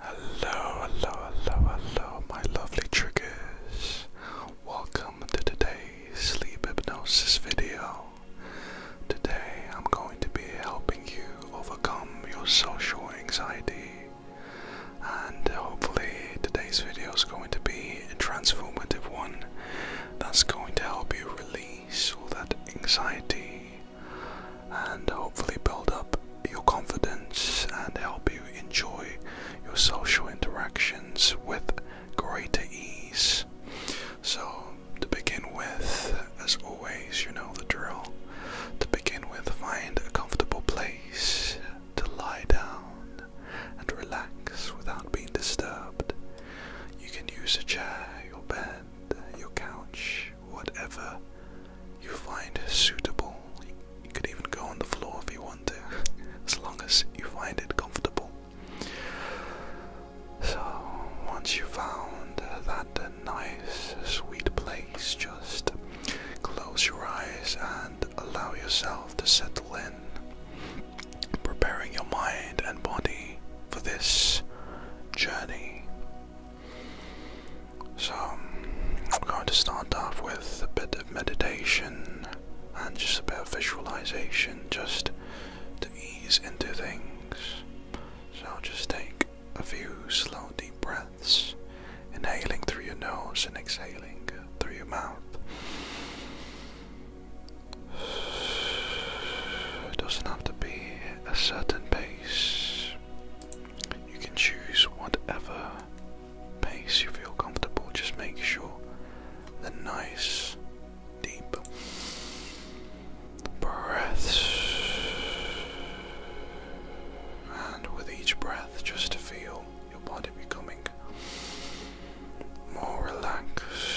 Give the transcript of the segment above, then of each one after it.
Hello, hello, hello, hello, my lovely triggers. Welcome to today's sleep hypnosis video. Today I'm going to be helping you overcome your social anxiety. And hopefully, today's video is going to be a transformative one that's going to help you release all that anxiety and hopefully build up your confidence and help you enjoy your social interactions with greater ease. So, to begin with, as always, you know the drill. To begin with, find a comfortable place to lie down and relax without being disturbed. You can use a chair, your bed, your couch, whatever you find suitable. You, you could even go on the floor if you want to, as long as you find it comfortable. So, once you have found that nice, sweet place, just close your eyes and allow yourself to settle in, preparing your mind and body for this journey so, I'm going to start off with a bit of meditation and just a bit of visualization just to ease into things. So, just take a few slow, deep breaths, inhaling through your nose and exhaling through your mouth. It doesn't have to be a certain pace. You can choose whatever pace you feel comfortable, just make sure the nice deep breaths. And with each breath, just feel your body becoming more relaxed,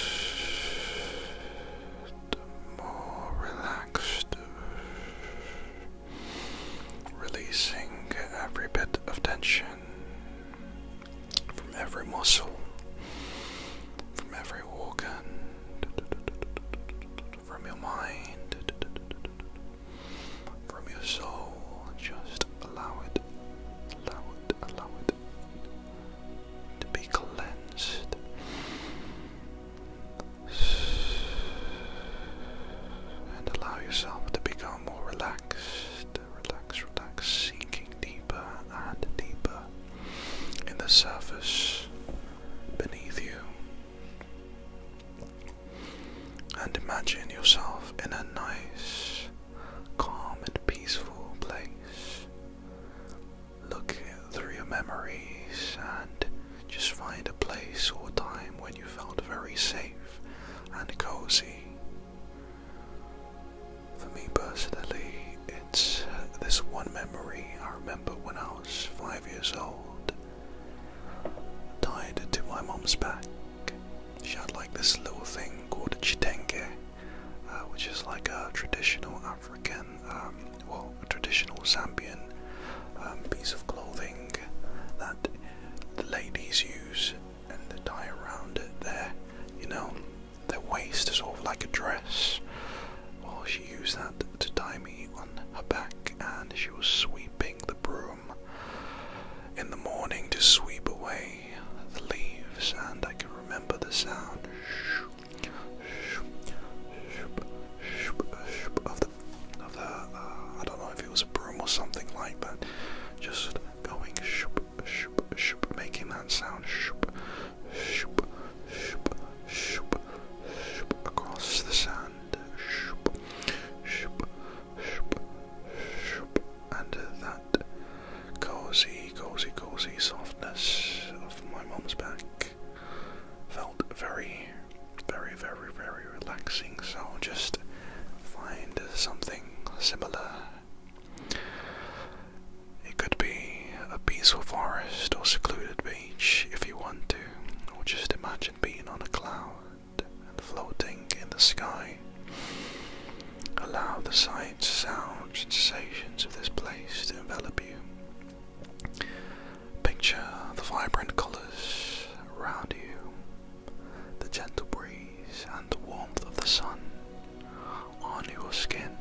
more relaxed releasing every bit of tension from every muscle, from every organ, from your mind, from your soul. Just allow it, allow it, allow it to be cleansed. And allow yourself to become more relaxed, relax, relax, sinking deeper and deeper in the surface beneath you. And imagine yourself in a nice, calm, and peaceful place. Look through your memories and just find a place or time when you felt very safe and cozy. For me personally, it's uh, this one memory I remember when I was five years old. Tied to my mom's back, she had like this little thing called a chitenge, uh, which is like a traditional African um, well, a traditional Zambian piece of clothing that the ladies use and the tie around it you know, their waist is sort of like a dress. Well, she used that to tie me on her back and she was sweeping the broom in the morning to sweep away the leaves and I can remember the sound of of the uh, I don't know if it was a broom or something like that, just going shoop, shoop, shoop, making that sound shoop, shoop, shoop, shoop, across the sand, shoop, shoop, shoop, shoop, and that cozy, cozy, cozy softness of my mom's back felt very very, very, very relaxing. So just find something similar. It could be a peaceful forest or secluded beach if you want to, or just imagine being on a cloud and floating in the sky. Allow the sights, sounds, sensations of this place to envelop you. Picture the vibrant colours around you, the gentle breeze and the warmth of the sun on your skin.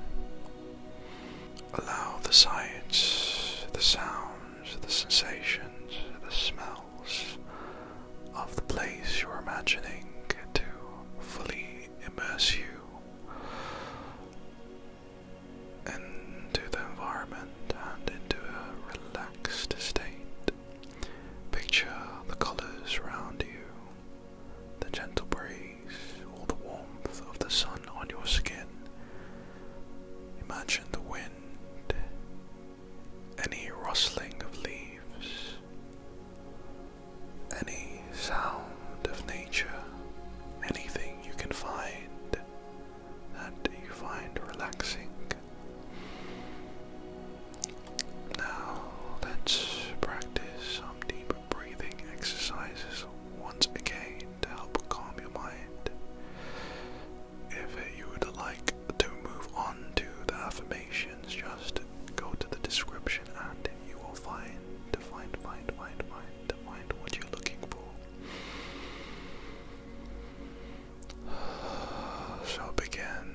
Allow the sights, the sounds, the sensations, the smells of the place you're imagining to fully immerse you into the environment and into a relaxed state. Picture the colours around you, the gentle breeze, or the warmth of the sun on your skin. Imagine the wind, any rustling of leaves, any sound of nature, anything you can find that you find relaxing. Now, let's practice some deep breathing exercises once again to help calm your mind. If you would like to move on to the affirmations, just go to the description and you will find, find, find, find, find, find what you're looking for. So begin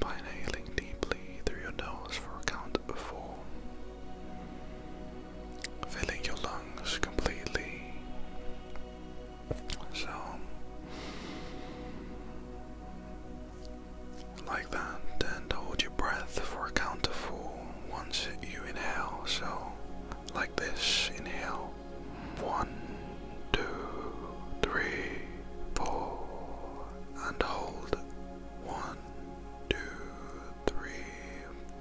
by inhaling deeply through your nose for a count of four, filling your lungs completely. So, like that, and hold your breath for a count of four once you inhale. So, like this. Inhale. One, two, three, four, and hold. One, two, three,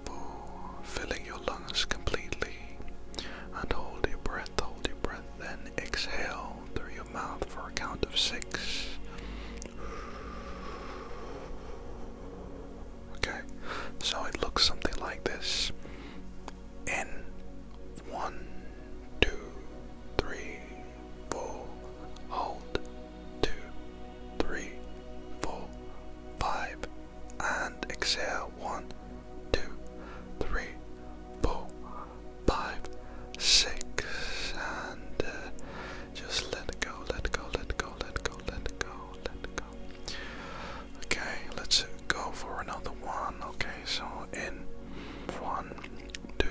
four. Filling your lungs completely. And hold your breath, hold your breath. Then exhale through your mouth for a count of six. Okay, so it looks something like this in one, two, three, four, hold, two, three, four, five, and exhale one, two, three, four, five, six, and uh, just let go, let go, let go, let go, let go, let go, Okay, let's go for another one. Okay, so in one, two,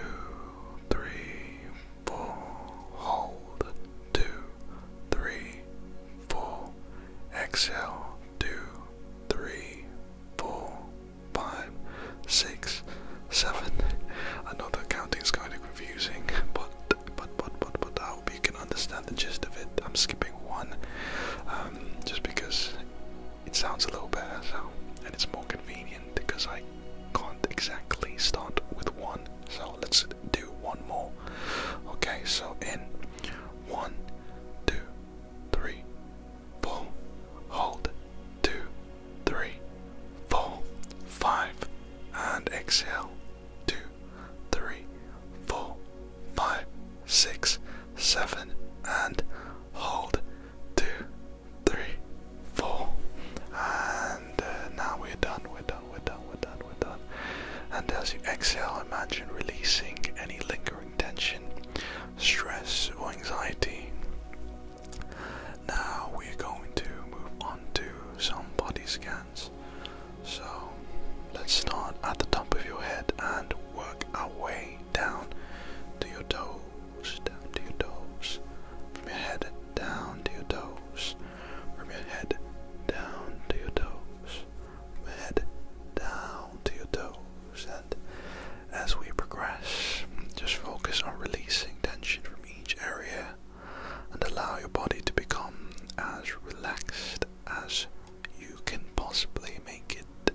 three, four, hold, two, three, four, exhale, two, three, four, five, six, seven. I know the counting is kind of confusing, but but but but but how oh hope you can understand the gist of it. I'm skipping one um, just because it sounds a little better, and it's more convenient because I can't exactly start with one. So let's do one more. Okay, so in one, two, three, four, hold, two, three, four, five, and exhale two, three, four, five, six, seven, and hold two, three, four, and uh, now we're done, we're done, we're done, we're done, we're done. And as you exhale, imagine releasing any lingering tension, stress, or anxiety. Now we're going to move onto to some body scan. So let's start at the top of your head and work our way down to your toes, down to your toes, from your head down to your toes, from your head down to your toes, from your head down to your toes. And as we progress, just focus on releasing tension from each area and allow your body to become as relaxed as you can possibly make it.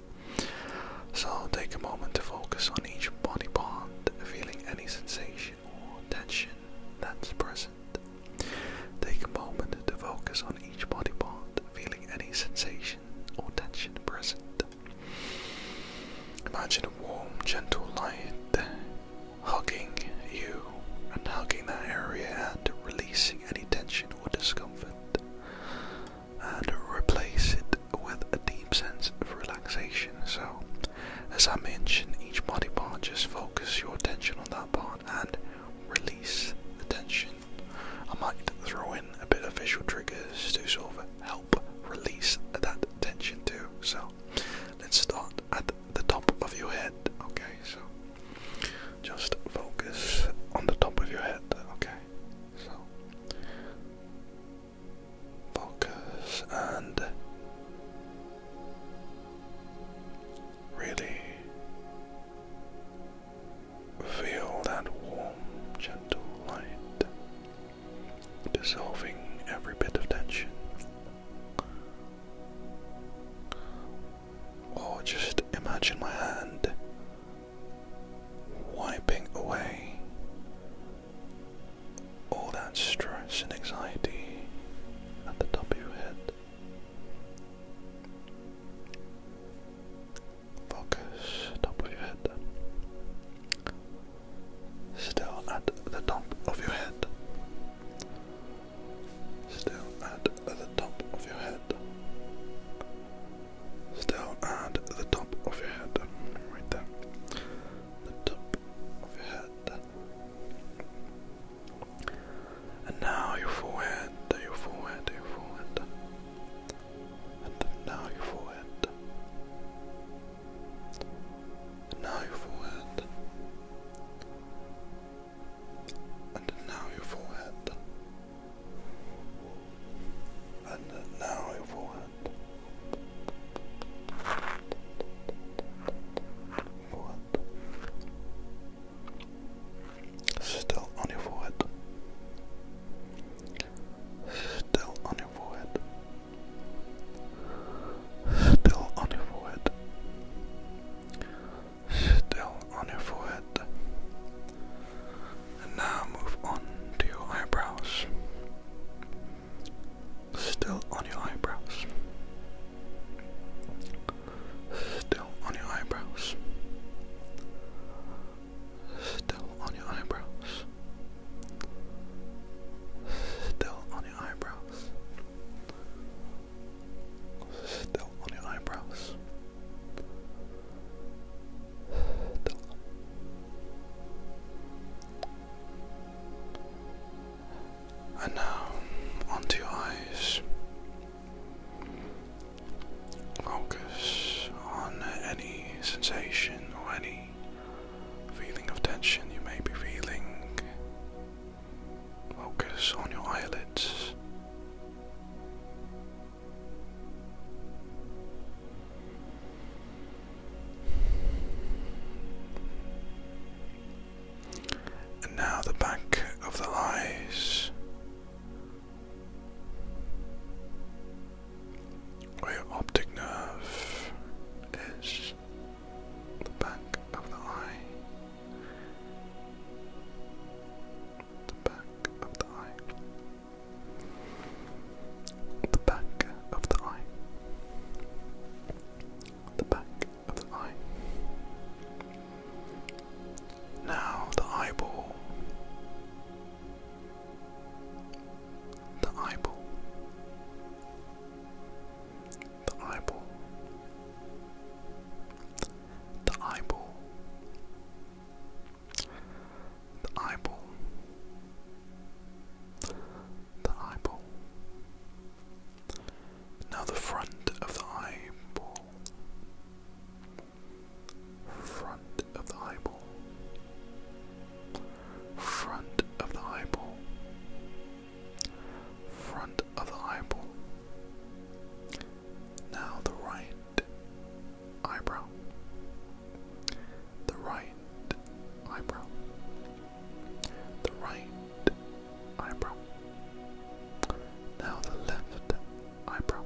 So take a moment to focus on each body part, feeling any sensation or tension that's present. Take a moment to focus on each body part, feeling any sensation or tension present. Imagine a warm, gentle light hugging you and hugging that area and releasing any tension or discomfort and replace it with a deep sense of relaxation. So, as I mentioned, each body part, just focus your attention on that part and release the tension. I might throw in a bit of visual triggers to sort of help release that tension too. So, let's start at the top of your head. Okay, so just focus on the top of your head, okay? So focus and really feel that warm, gentle light dissolving every bit of tension or just imagine my hand wiping away all that stress and anxiety at the top of your head. Focus top of your head. Still at the top of your head. Still at the top of your head. Still at the top of your head. Right there. The top of your head. And now your forehead, your forehead, your forehead. And now your forehead. And now your forehead and now your forehead, and now your forehead, forehead, still on your forehead, still on your forehead. Still on your forehead still on your forehead. And now move on to your eyebrows. Still on your eyebrows. Still on your eyebrows. Still on your eyebrows. Still on your eyebrows. Still on your eyebrows. And now onto your eyes. Focus on any sensation or any feeling of tension you may be feeling Focus on your eyelids. And now the back of the eyes, where your optic nerve is, the back of the eye. The back of the eye. The back of the eye. The back of the eye. Now the eyeball. The eyeball the eyeball, the eyeball, the eyeball, the eyeball. Now the front of the eyeball, front of the eyeball, front of the eyeball front of the eyeball. Now the right eyebrow. The right eyebrow. The right eyebrow. Now the left eyebrow.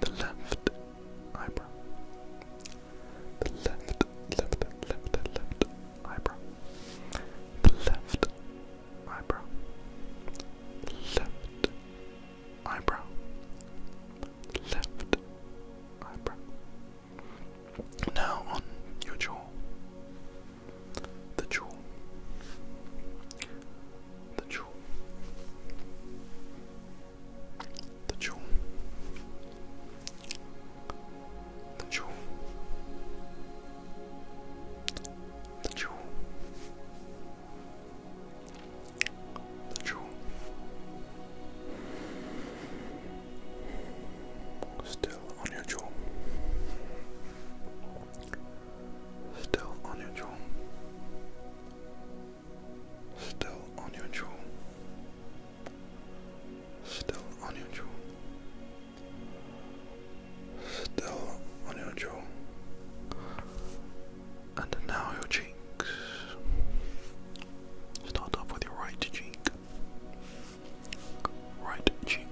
The left eyebrow. The left, left, left, left eyebrow. The left eyebrow. Left eyebrow. Left eyebrow. Now on your jaw. The jaw. The jaw. The jaw. The jewel. The jewel. The jewel. Still on your jaw. Still on your jaw. Still on your jaw. Still on your jaw. Still on your jaw and now your cheeks. Start off with your right cheek, right cheek,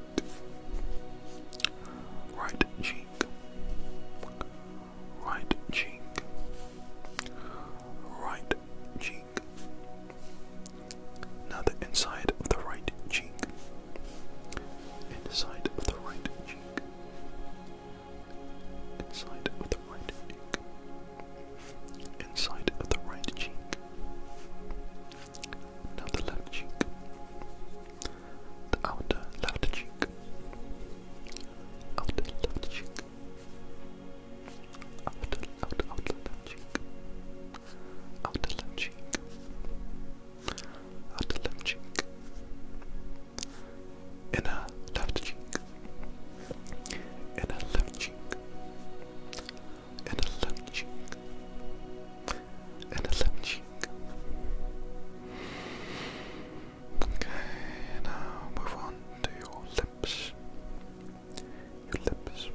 right cheek, right cheek, right cheek, now the inside of the right cheek. Inside of the right cheek. Inside of the right cheek. Inside of the right cheek. Now the left cheek. The outer left cheek. Outer left cheek outer, outer, outer left cheek, outer left cheek, outer left cheek, inner left cheek, inner left cheek, inner left cheek, inner left cheek. Okay, now move on to your lips. Your lips.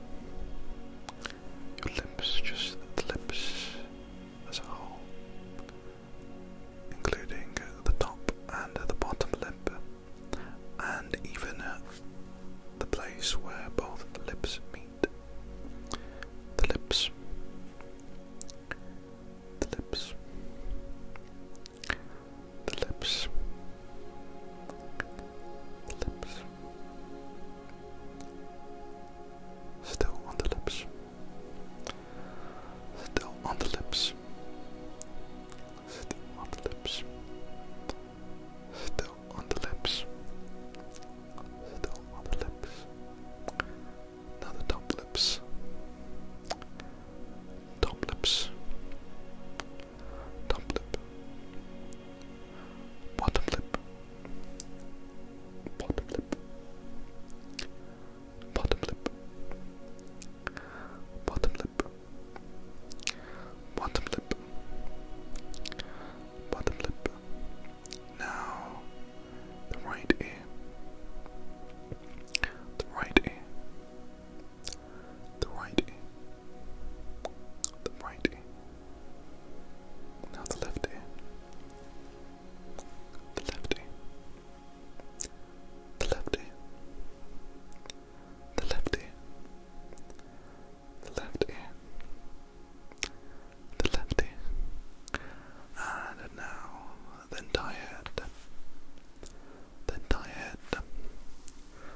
Your lips, just the lips as a whole, including the top and the bottom lip, and even the place where both lips meet. The lips. The lips. The lips. The lips. Still on the lips. Still on the lips. Still on the lips. Still on the lips. Still on the lips. Now the top lips. Top lips top lip, bottom lip, bottom lip, bottom lip, bottom lip, bottom lip, bottom lip. Now the right ear, the right ear, the right ear the right Now the left ear. The left The left The left The left The left And now the entire The entire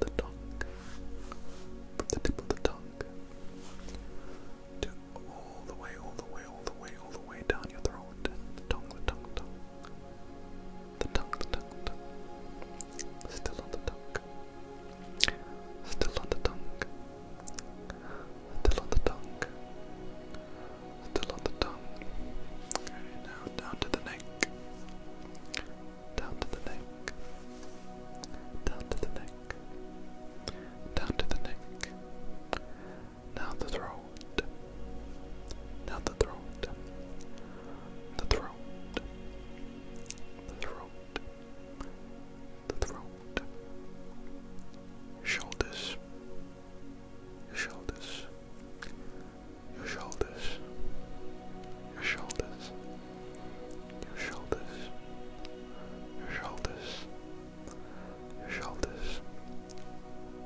the tongue, from the tip of the tongue, to all the way, all the way, all the way, all the way down your throat. The tongue, the tongue, tongue. The tongue, the tongue, tongue. Still on the tongue. Still on the tongue. Still on the tongue. Still on the tongue. Okay, now down to the neck down to the neck, down to the neck, down to the neck. Now the throat, now the throat, the throat, the throat, the throat, shoulders, shoulders your shoulders, your shoulders, your shoulders, your shoulders, your shoulders,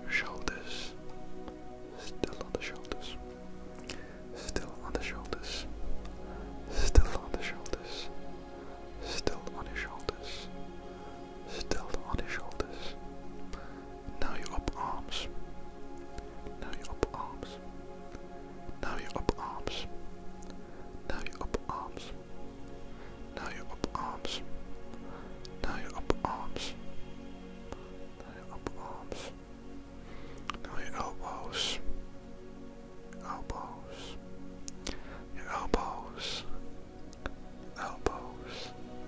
your shoulders, still on the shoulders, still on the shoulders, still on the shoulders, still on your shoulders, still on your shoulders. Now you're up arms. Now you're up arms. Now you're up arms. Now you're up arms. Now you're up arms. Now you're up arms. Now you're up arms. Now your elbows. Your elbows. Your elbows. Elbows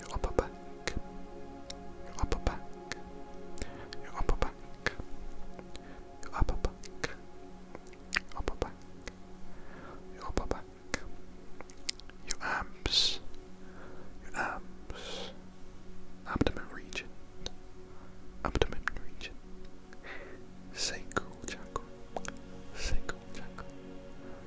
your upper back, your upper back, your upper back, your upper back, your upper back, your upper back, your abs, your abs, abdomen region, abdomen region, sacral chakra, sacral chakra.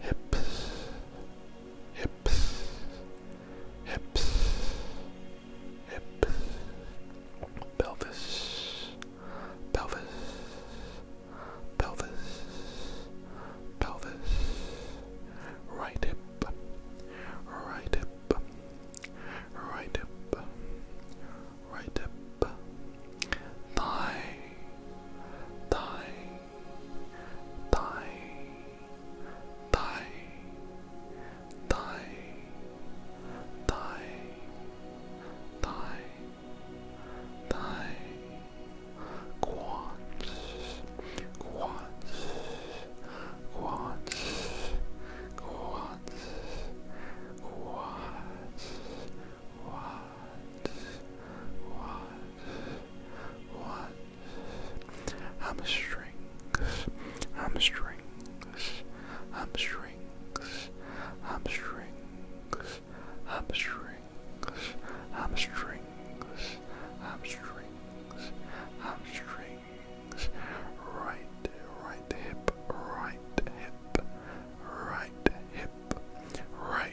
hips, hips, hips, hips, pelvis, pelvis, pelvis, pelvis, right hip, right hip, right hip, right hip. Thy, thy, thy, thy, thy, thy, thy, thy, quads, quads, quads, quads, quads, quads what, what? Hamstrings, hamstrings, hamstrings, hamstrings, hamstrings, hamstrings, hamstrings, hamstrings, right, right hip, right hip, right hip, right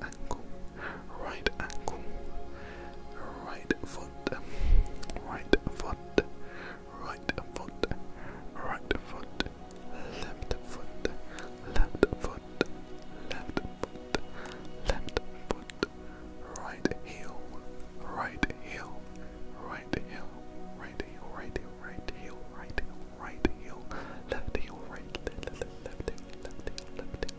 ankle, right ankle, right foot, right foot, right foot, right foot, left foot, left foot, left foot, left foot, right heel, right heel, right heel, right heel, right heel, right heel, right heel, right heel, left heel, right, left heel, left heel, left heel, left heel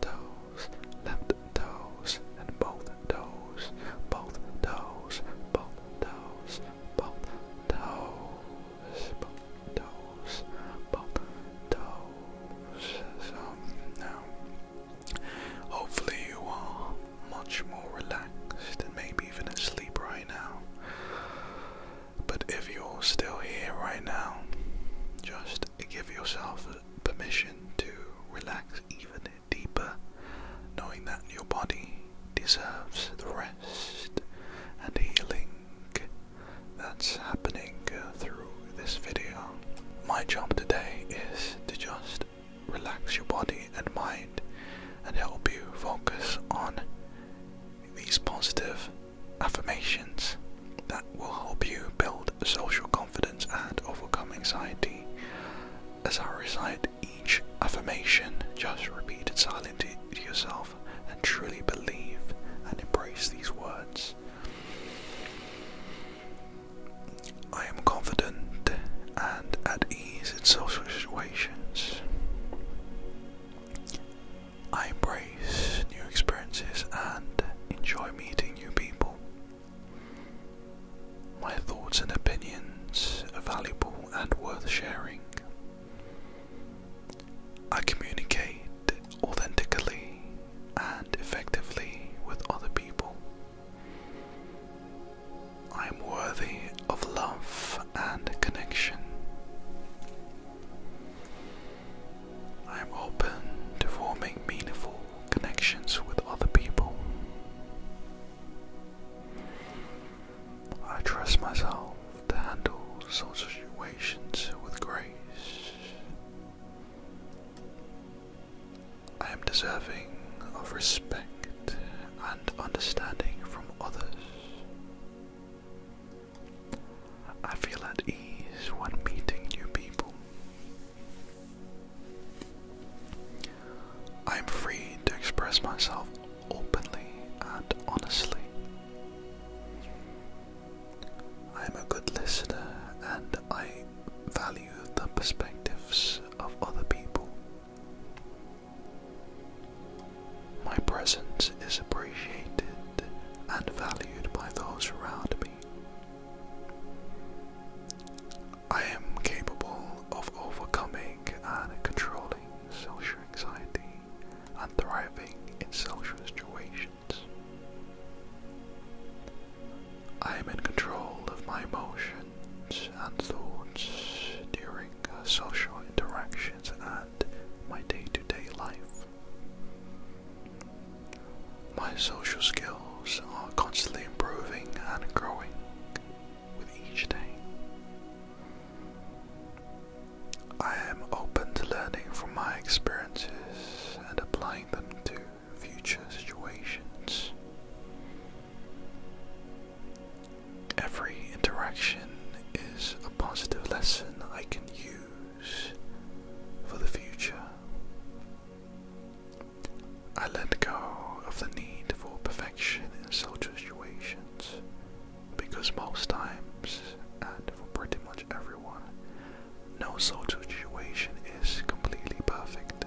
toes, left toes, and both toes, both toes, both toes, both toes, both toes, both toes. So now, hopefully, you are much more relaxed and maybe even asleep right now. But if you're still here right now, just give yourself permission to relax even deeper, knowing that your body deserves the rest and healing that's happening uh, through this video. My job today is to just relax your body and mind and help you focus on these positive affirmations that will help you build social confidence and overcome anxiety. As I recite each affirmation, just repeat it silently to yourself and truly believe and embrace these words. I am confident and at ease in social situations. I embrace new experiences and enjoy meeting new people. My thoughts and opinions are valuable and worth sharing. I communicate authentically and effectively with other people. I am worthy of love and connection. I am open to forming meaningful connections with other people. I trust myself to handle such situations with grace. I am deserving of respect and understanding from others. I feel at ease when meeting new people. I am free to express myself openly and honestly. I am a good listener and I value the perspectives of other people. My presence is appreciated and valued by those around me. I am capable of overcoming and controlling social anxiety and thriving in social situations. I am in control of my emotions and thoughts during uh, social interactions and my day to day life. My social skills are constantly improving and growing with each day. I am open to learning from my experiences and applying them to future situations. Every interaction is a positive lesson I can use for the future. I let go of the need for perfection in social situations because most times, and for pretty much everyone, no social situation is completely perfect.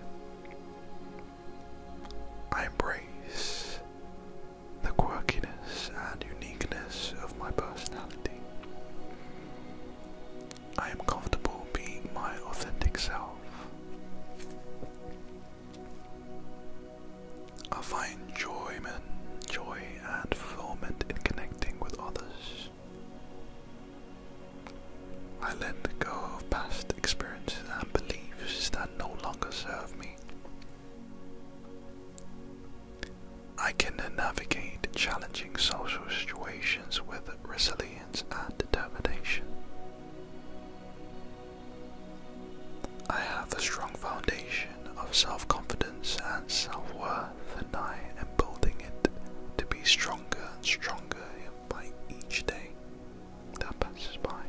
I embrace the quirkiness and uniqueness of my personality. I am comfortable being my authentic self. I find enjoyment, joy and fulfillment in connecting with others. I let go of past experiences and beliefs that no longer serve me. I can navigate challenging social situations with resilience and determination. I have a strong foundation of self confidence and self worth, and I am building it to be stronger and stronger by each day that passes by.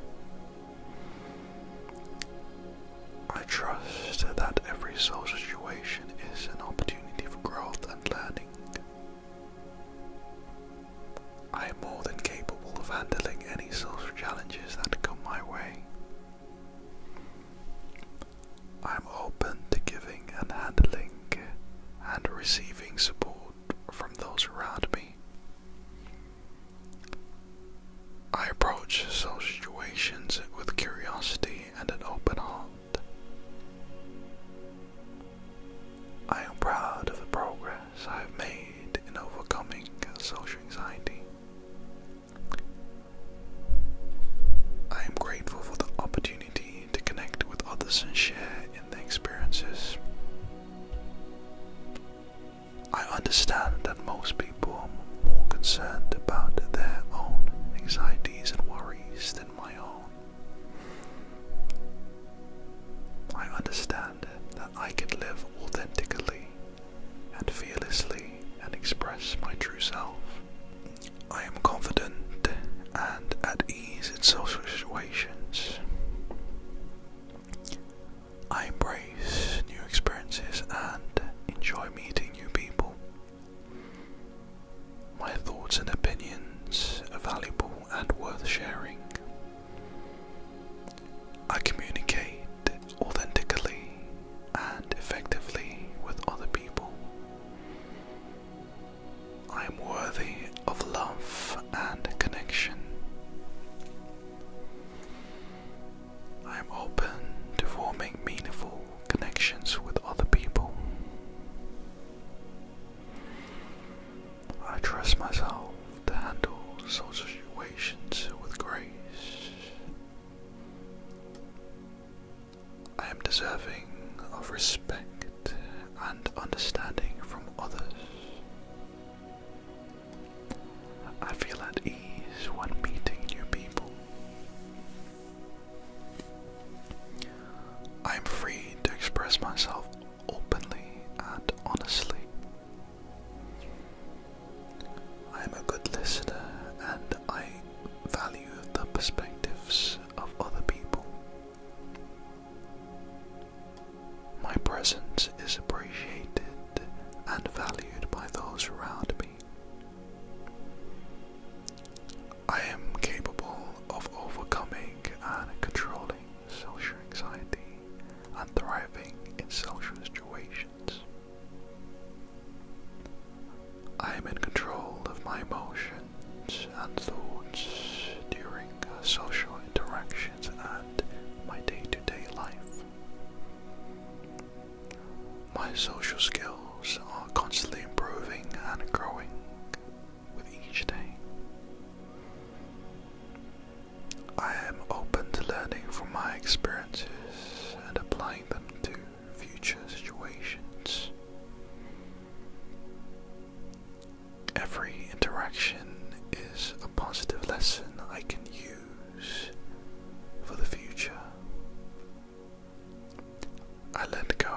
I trust that every soul situation is an opportunity for growth and learning, I am more than capable of handling any social challenges that come my way. I am open to giving and handling and receiving support from those around me. I approach social situations with curiosity and an open heart. I am proud of the progress I have made in overcoming social anxiety. I am grateful for the opportunity to connect with others and share in the experiences. I understand that most people are more concerned about their own anxieties and worries than my own. I understand that I can live authentically and fearlessly and express my true self. I am confident and at ease in social situations. I embrace new experiences and enjoy meeting new people. My thoughts and opinions are valuable and worth sharing. I communicate authentically and effectively with other people. I am worthy of love and connection. I am open to forming meaningful connections with other people. I trust myself to handle such situations with grace. I am deserving of respect and understanding from others. I feel at ease when meeting new people. I am free to express myself openly and honestly. I am a good listener and I value the perspectives of other people. My presence is appreciated and valued by those around me. I am capable of overcoming and controlling social anxiety and thriving in social situations. I am in control of my emotions and thoughts during social interactions and my day to day life. My social skills are constantly improving and growing with each day. I am open to learning from my experiences and applying them to future situations. Every interaction is a positive lesson I can use for the future. I let go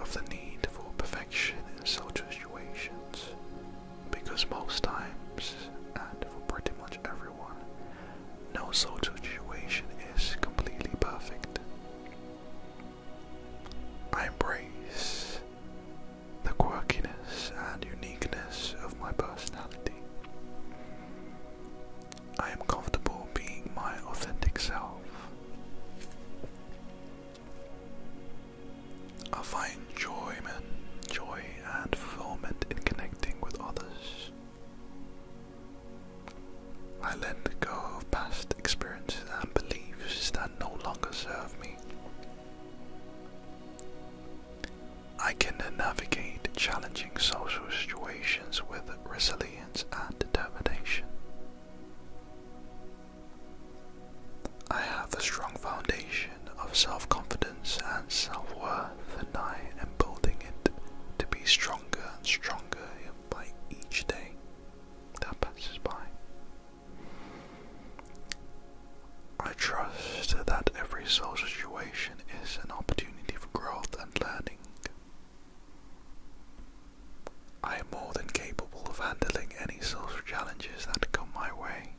of the need for perfection in such situations because most times, and for pretty much everyone, no social situation is completely perfect. I embrace the quirkiness and uniqueness of my personality. I am comfortable being my authentic self. I find joy, man, joy and fulfillment in connecting with others. I let go of past experiences and beliefs that no longer serve me. I can navigate challenging social situations with resilience and determination. I have a strong foundation of self confidence and self worth, and I am building it to be stronger and stronger by each day that passes by. I trust that every soul situation is an opportunity for growth and learning. I am more than capable of handling any social challenges that come my way.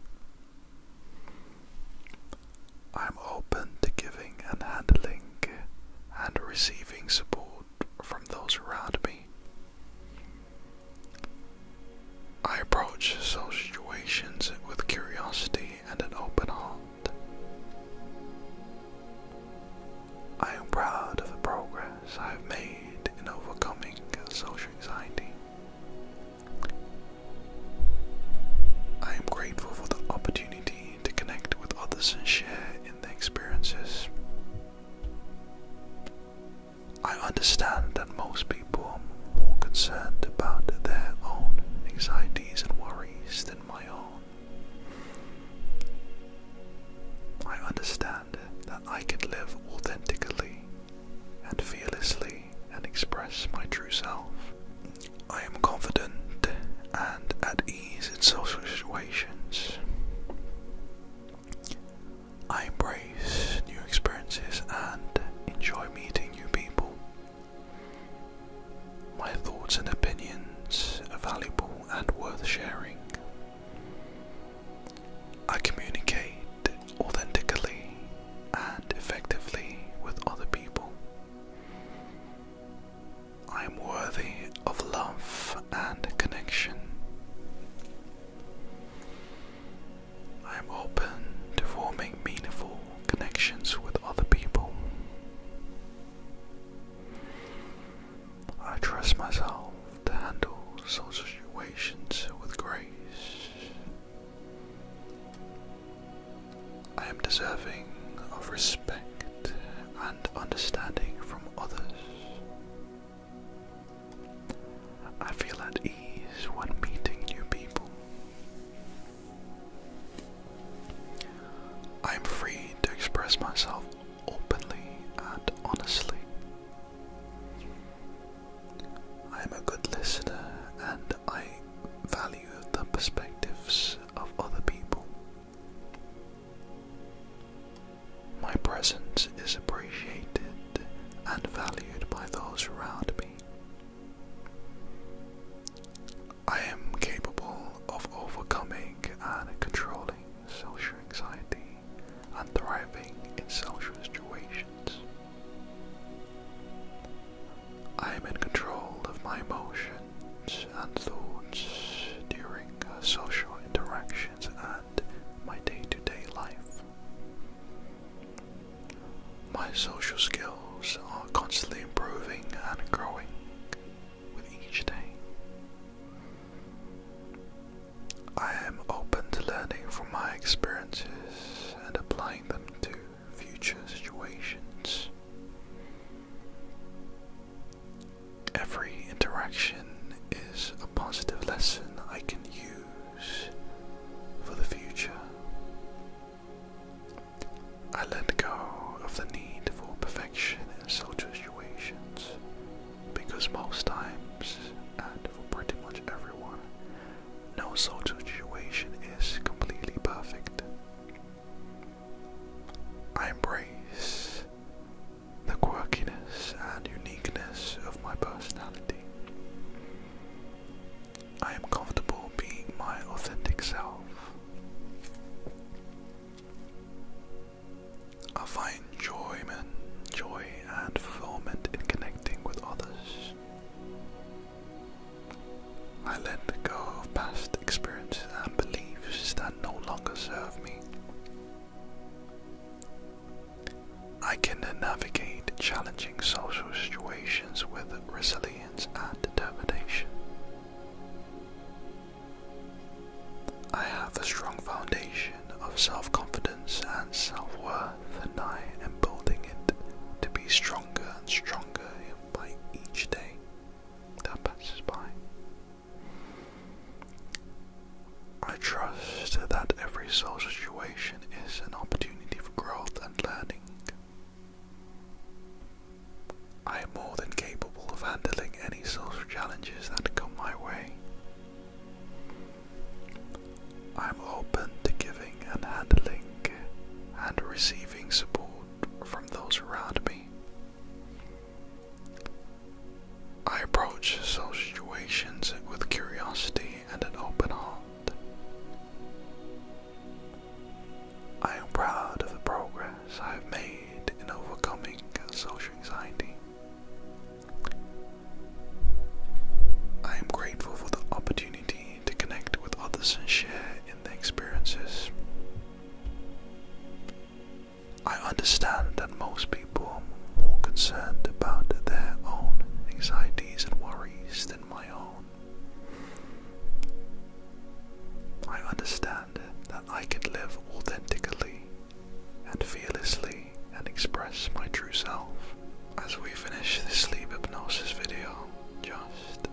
I am open to giving and handling and receiving support from those around me. I approach situations with curiosity and an open heart. I am proud of the progress I have made in overcoming social anxiety. I am grateful for the opportunity to connect with others and share in their experiences. I understand that most people are more concerned about their own anxieties and worries than my own. I understand that I can live authentically and fearlessly and express my true self. I am confident and at ease in social situations. I embrace new experiences and enjoy meeting new people. My thoughts and opinions are valuable and worth sharing. I communicate authentically and effectively with other people. I am worthy of love and connection. I am open to forming meaningful connections with other people. I trust myself to handle such situations with grace. I am deserving of respect and understanding from others. I feel at ease when meeting new people. I am free to express myself openly and honestly. I am a good listener and I value the perspectives of other people. My presence is appreciated and valued by those around me. I am capable of overcoming and controlling social anxiety and thriving in social situations. I am in control of my emotions and thoughts during uh, social interactions and my day to day life. My social skills are constantly improving and growing with each day. I am open to learning from my experiences and applying them to future situations. Every interaction is a positive lesson I can use for the future. I let go of the need for perfection in such situations because most times, and for pretty much everyone, no such situation is completely perfect. I embrace the quirkiness and uniqueness of my personality. I am comfortable being my authentic self. I find joy, man, joy and fulfillment in connecting with others. I let go of past experiences and beliefs that no longer serve me. I can navigate challenging social situations with resilience and determination. I have a strong foundation of self confidence and self worth, and I am building it to be stronger and stronger by each day that passes by. I trust that every soul situation is an opportunity for growth and learning. I am more than capable of handling any social challenges that come my way. I am open to giving and handling and receiving support from those around me. I approach social situations with curiosity and an open heart. I am proud of the progress I have made in overcoming social anxiety. I am grateful for the opportunity to connect with others and share in their experiences. I understand that most people are more concerned about their own anxieties and worries than my own. I understand that. I could live authentically and fearlessly and express my true self. As we finish this sleep hypnosis video, just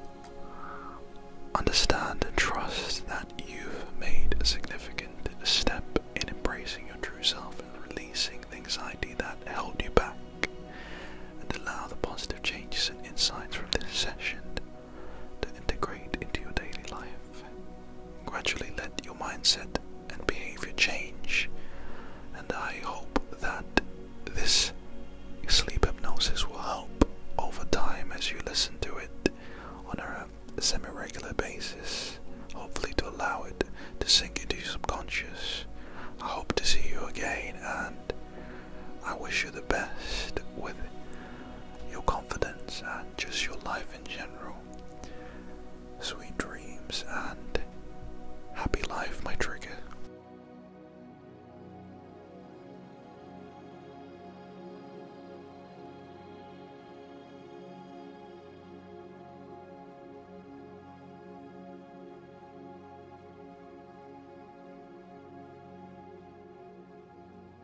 understand and trust that you've made a significant step in embracing your true self and releasing the anxiety that held you back, and allow the positive changes and insights from this session to integrate into your daily life. Gradually let your mindset and behavior change, and I hope that this sleep hypnosis will help over time as you listen to it on a semi regular basis, hopefully, to allow it to sink into your subconscious. I hope to see you again, and I wish you the best with your confidence, and just your life in general. Sweet dreams and happy life, my trigger.